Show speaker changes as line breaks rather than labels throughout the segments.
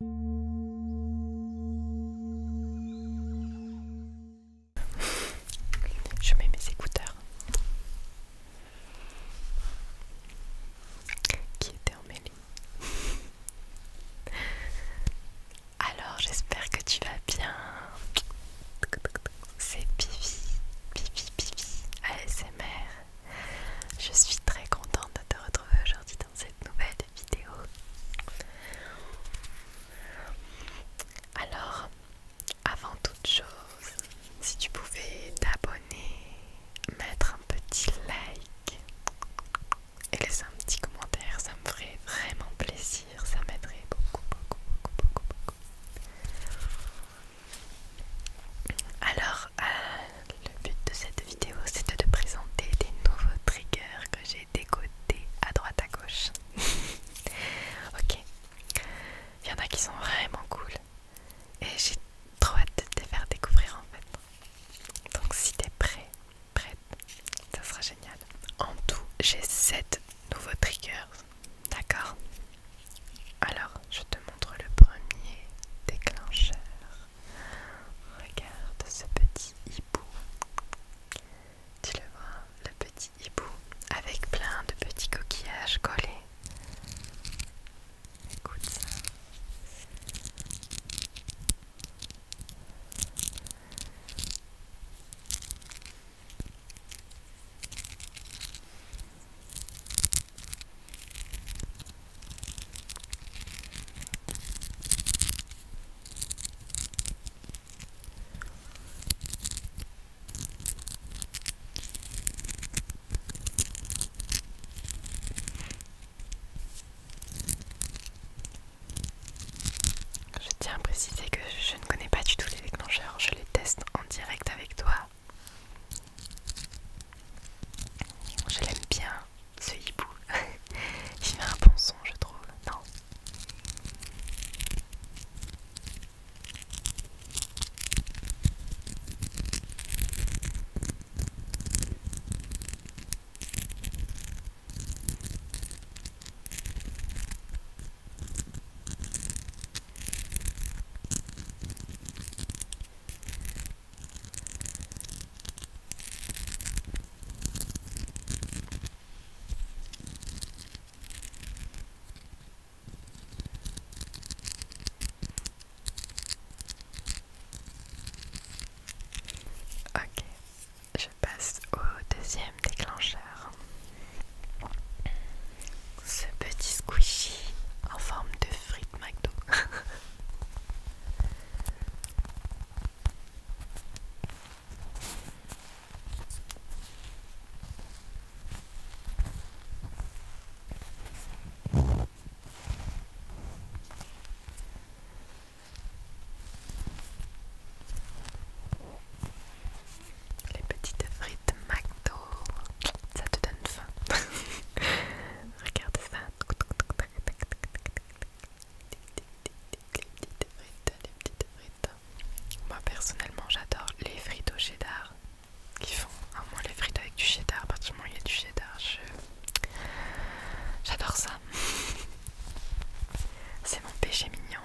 Je mets mes écouteurs qui étaient mêlée. Alors j'espère que tu vas bien. C'est Pivi, Pivi, Pivi, ASMR. Je suis très contente de te retrouver aujourd'hui cette nouvelle vidéo. Alors, avant toute chose, si tu pouvais t'abonner, mettre un petit like et laisser un petit commentaire, ça me ferait vraiment plaisir, ça m'aiderait beaucoup, beaucoup, beaucoup, beaucoup, beaucoup. Alors, euh, le but de cette vidéo c'est de te présenter des nouveaux triggers que j'ai décodés à droite à gauche. ok, il y en a qui sont vraiment cool et j'ai trop hâte de te faire découvrir en fait. Donc si t'es prêt, prête, ça sera génial. En tout, j'ai 7 nouveaux triggers, d'accord Alors, je te montre le premier déclencheur. Regarde ce petit hibou. Tu le vois, le petit hibou avec plein de petits coquillages collés. Écoute ça. Je tiens à préciser que je ne connais pas du tout les déclencheurs, je les teste en direct avec toi. Je l'aime bien, ce hibou. Il fait un bon son, je trouve, non Ok, je passe au deuxième déclencheur. Ce petit squishy en forme de frites McDo. Les petites frites McDo, ça te donne faim. Regarde ça. Moi personnellement j'adore les frites au cheddar qui font au moins les frites avec du cheddar, à partir du il y a du cheddar, j'adore ça. C'est mon péché mignon.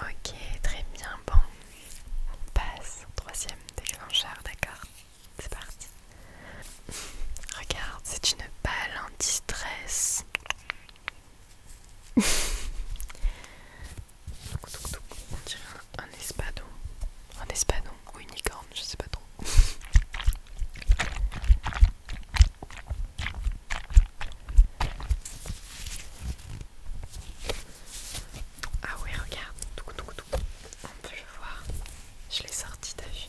Ok, très bien. Bon, on passe au troisième déclencheur, d'accord C'est parti. Regarde, c'est une balle anti-stress. On dirait un espadon. Un espadon ou une licorne, je sais pas trop. Ah oui, regarde, on peut le voir. Je l'ai sorti, t'as vu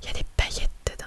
Il y a des paillettes dedans.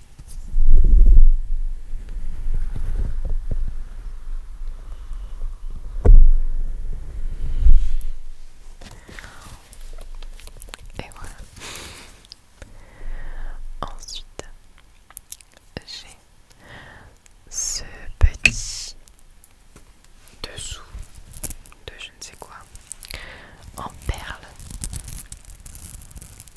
Et voilà. Ensuite, j'ai ce petit dessous de je ne sais quoi en perles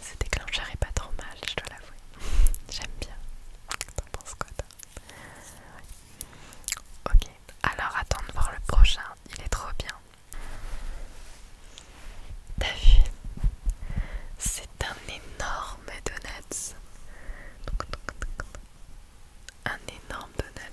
Ce déclencheur est pas trop mal, je dois l'avouer. J'aime bien. T'en penses quoi, toi Ok, alors attends de voir le prochain. Il est trop bien. T'as vu C'est un énorme donuts. Un énorme donut.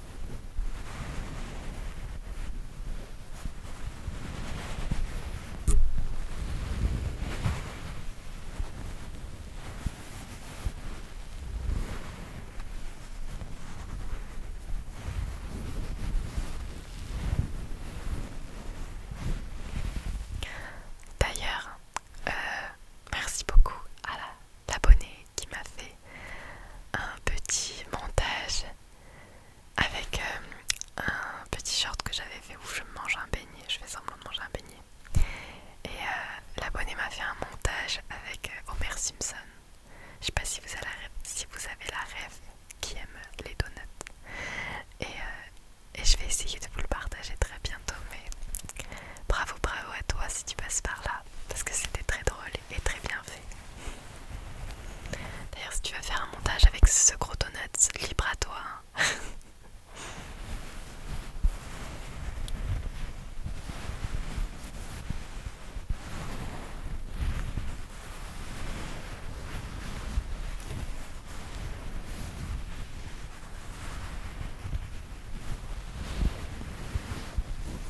D'ailleurs, euh, merci beaucoup à l'abonné qui m'a fait un petit montage avec euh, un petit short que j'avais fait où je mange un beignet, je fais semblant de manger un beignet. Et la euh, l'abonné m'a fait un montage avec euh, Homer Simpson. Je sais pas si vous, avez la rêve, qui aime les donuts. Et, je vais essayer de vous le partager très bientôt. Mais bravo, bravo à toi si tu passes par là. Parce que c'était très drôle et très bien fait D'ailleurs, si tu vas faire un montage avec ce gros donut, libre à toi. Hein.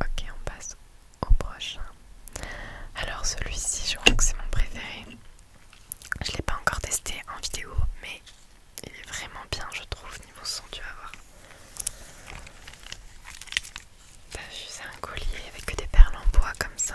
Ok, on passe au prochain. Alors celui-ci, je crois que c'est mon préféré. Je ne l'ai pas encore testé en vidéo, mais il est vraiment bien, je trouve, niveau son, tu vas voir. j'ai un collier avec des perles en bois comme ça.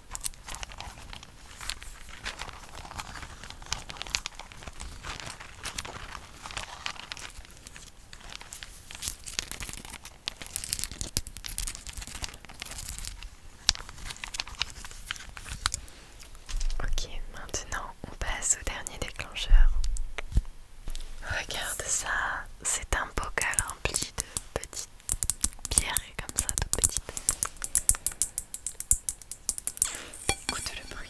Ok, maintenant on passe au dernier déclencheur. Regarde ça, c'est un bocal rempli de petites pierre est comme ça, toute petite. Écoute le bruit.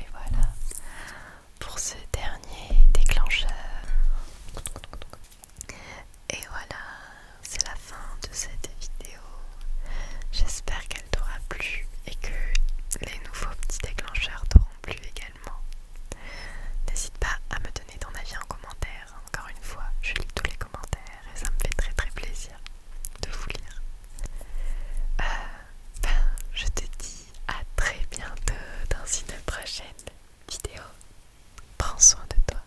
Et voilà pour ce dernier déclencheur. Et voilà, c'est la fin de cette vidéo. J'espère qu'elle t'aura plu et que les nouveaux petits déclencheurs t'auront plu également. N'hésite pas à me donner ton avis en commentaire. Encore une fois, je lis tous les commentaires et ça me fait très très plaisir de vous lire. Euh, ben, je te dis à très bientôt dans une prochaine vidéo. Prends soin de toi.